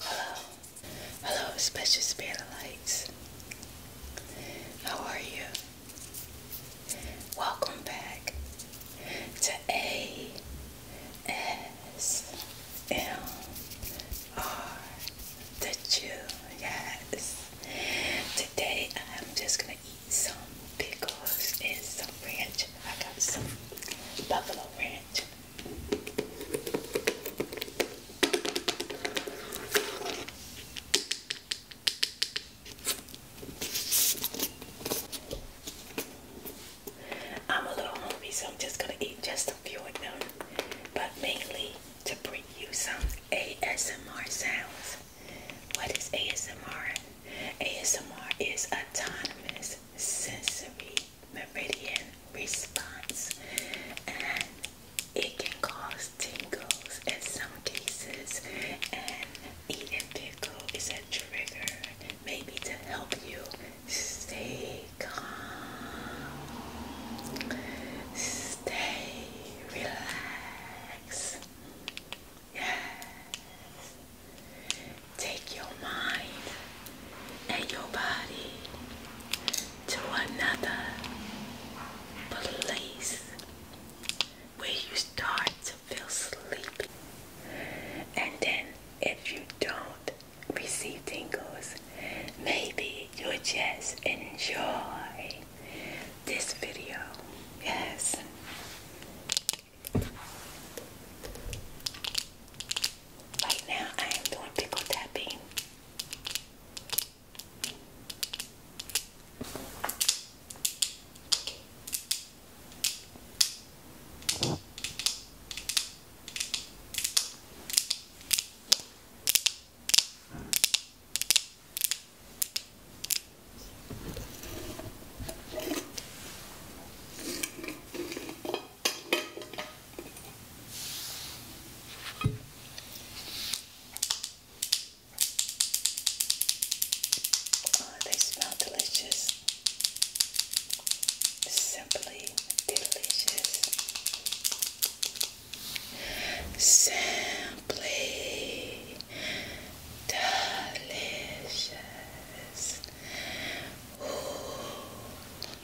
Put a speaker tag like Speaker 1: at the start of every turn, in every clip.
Speaker 1: Hello. Hello, special spirit lights. How are you? Welcome back to A S M R the Jew. Yes. Today I'm just gonna eat some pickles and some ranch. I got some buffalo ranch. I'm a little hungry, so I'm just gonna eat just a few of them, but mainly to bring you some ASMR sounds. What is ASMR? ASMR is autonomous sensory meridian response and it can cause tingles in some cases and eating pickle is a trigger maybe to help you stay calm stay relaxed yes take your mind and your body to another place where you start to feel sleepy. And then, if you don't receive tingles, maybe you just enjoy this video. Yes. Right now, I am doing people tapping. Oh, they smell delicious. Simply delicious. Simply delicious.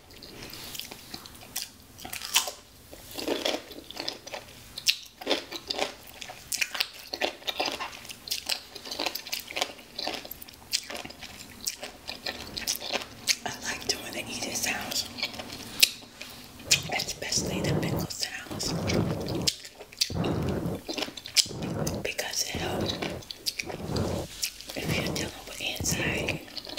Speaker 1: I like doing the eating sounds, especially the pickle sounds, because it helps if you're dealing with anxiety.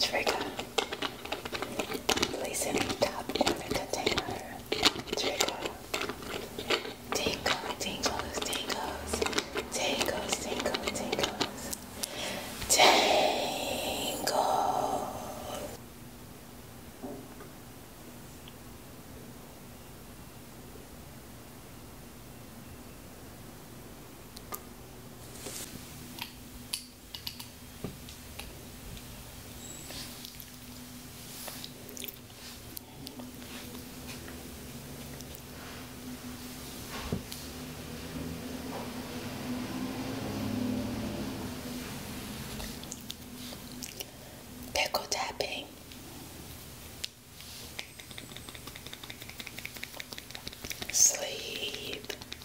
Speaker 1: It's very good. Place in top of the container. Trickle. Tinkle, tinkles, tinkles. Tinkles, tinkle, tinkles. Pickle tapping. Sleep.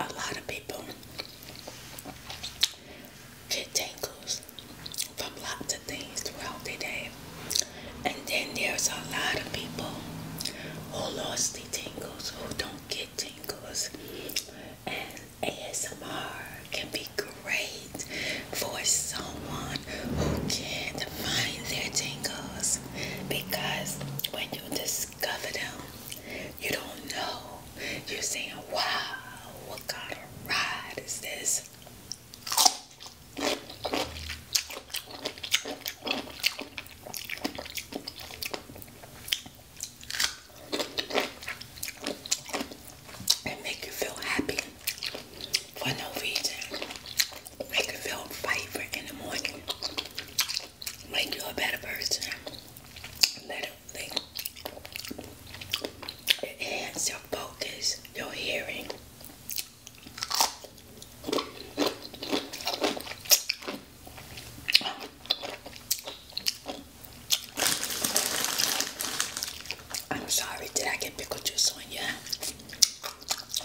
Speaker 1: a lot of people get tingles from lots of things throughout the day. And then there's a lot of people who lost the tingles, who don't get tingles. And ASMR can be great for someone who can't find their tingles because when you discover them, you don't know. You're saying, wow, what kind of ride is this? And make you feel happy for no reason. Make you feel vibrant in the morning. Make you a better person. Literally. It enhances your focus, your hearing. I'm sorry, did I get pickle juice on you?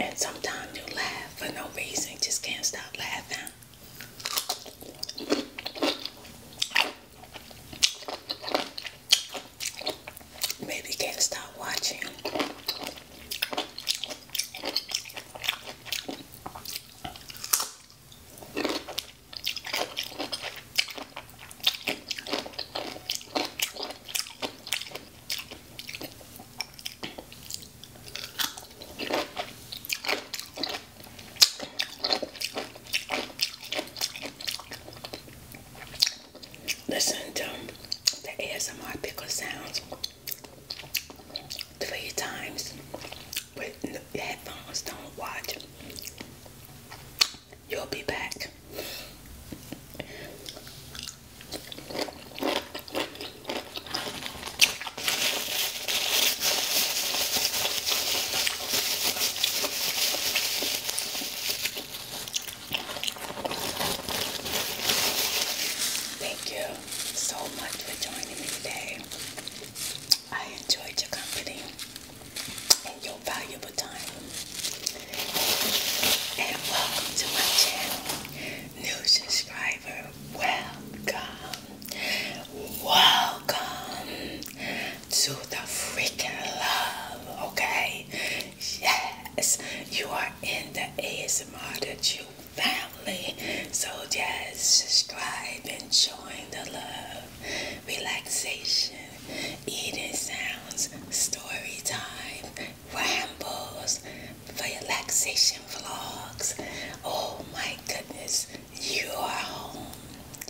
Speaker 1: And sometimes you laugh for no reason, just can't stop laughing. Maybe can't stop watching. Listen to the ASMR pickle sounds three times with headphones. Don't watch. You'll be back. Thank you so much for joining me today. I enjoyed your company and your valuable time and welcome to my channel. New subscriber, welcome. Welcome to the freaking love, okay? Yes, you are in the ASMR that family. So just subscribe and join the love, relaxation, eating sounds, story time, rambles, relaxation vlogs. Oh my goodness, you are home.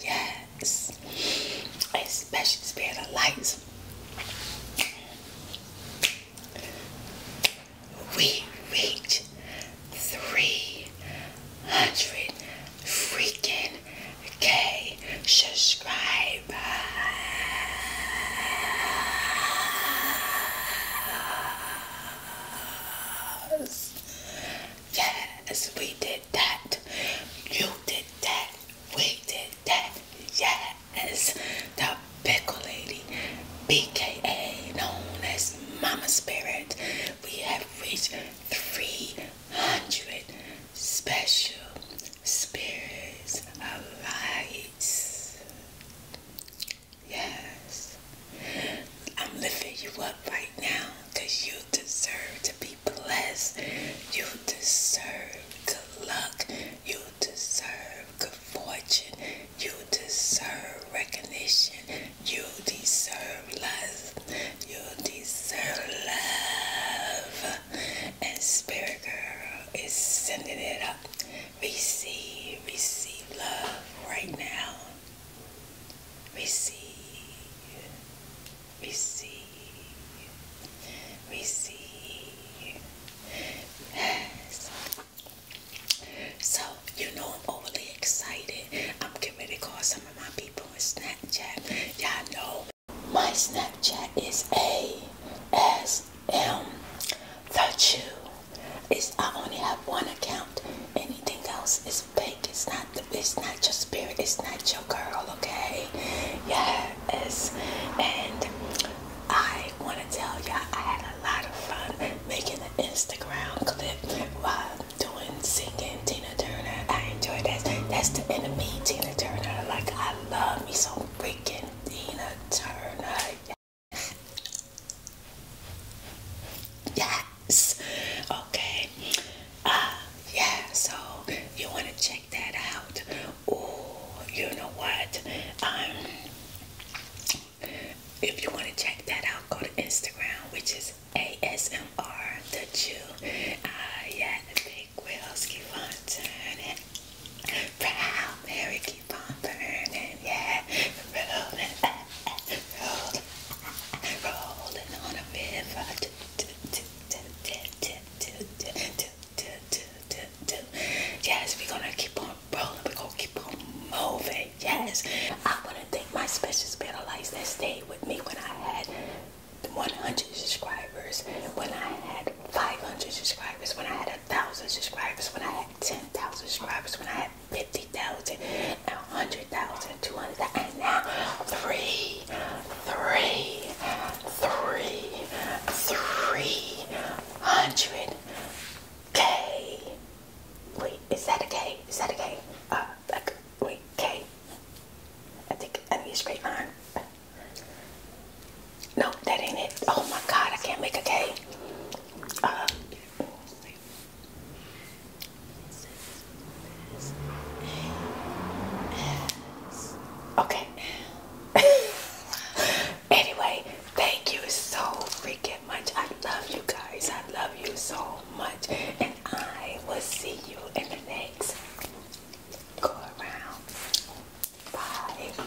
Speaker 1: Yes, a special spirit of lights. We reach 300 freaking K subscribers. Yes, we did that. You did that. We did that. Yes, the pickle lady, BKA, known as Mama Spirit. We have reached 300 special spirits alive. Yes. I'm lifting you up right now because you deserve to be blessed. You deserve good luck. You deserve good fortune. You deserve recognition. You deserve love. You deserve love. And Spirit Girl is sending it up. Receive, receive love right now. Receive, receive, receive. Yes. So, you know I'm overly excited. I'm getting ready to call some of my people on Snapchat. Y'all know my Snapchat is A S is um, is. I only have one account. Anything else is fake. It's not. It's not your spirit. It's not your girl. Okay. Yes. And I want to tell y'all, I had a lot of fun making an Instagram clip while doing singing Tina Turner. I enjoyed that. That's the enemy, Tina Turner. Like I love me some freaking Tina Turner. Yes. Okay. Uh, yeah, so you want to check that out. Oh, you know what? Um, if you want to check that out, go to Instagram, which is ASMR the Jew. Uh, yeah, big Will Ski Proud Mary, keep on burning, yeah. Rolling, rolling, rolling on a river. Do, do, do, do, do, do, do, do, do, do, do, do. Yes, we're gonna keep on rolling. We're gonna keep on moving. Yes, I wanna thank my special spiritual lights that stayed with me when I had 100 subscribers, when I had 500 subscribers, when I had a had thousand subscribers, when I had ten thousand subscribers, when I had fifty thousand, now hundred thousand, two hundred thousand, and now three, three, three, three hundred K. Wait, is that a K? Is that a K? Uh, like, wait, K. I think I need it's straight line. No, that ain't it. Oh my god, I can't make a K. Uh, okay. anyway, thank you so freaking much. I love you guys. I love you so much. And I will see you in the next go around. Bye.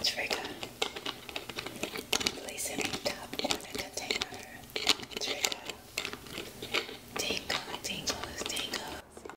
Speaker 1: It's very good. Place any top in the container. It's very good. Tingle, tingles, tingles.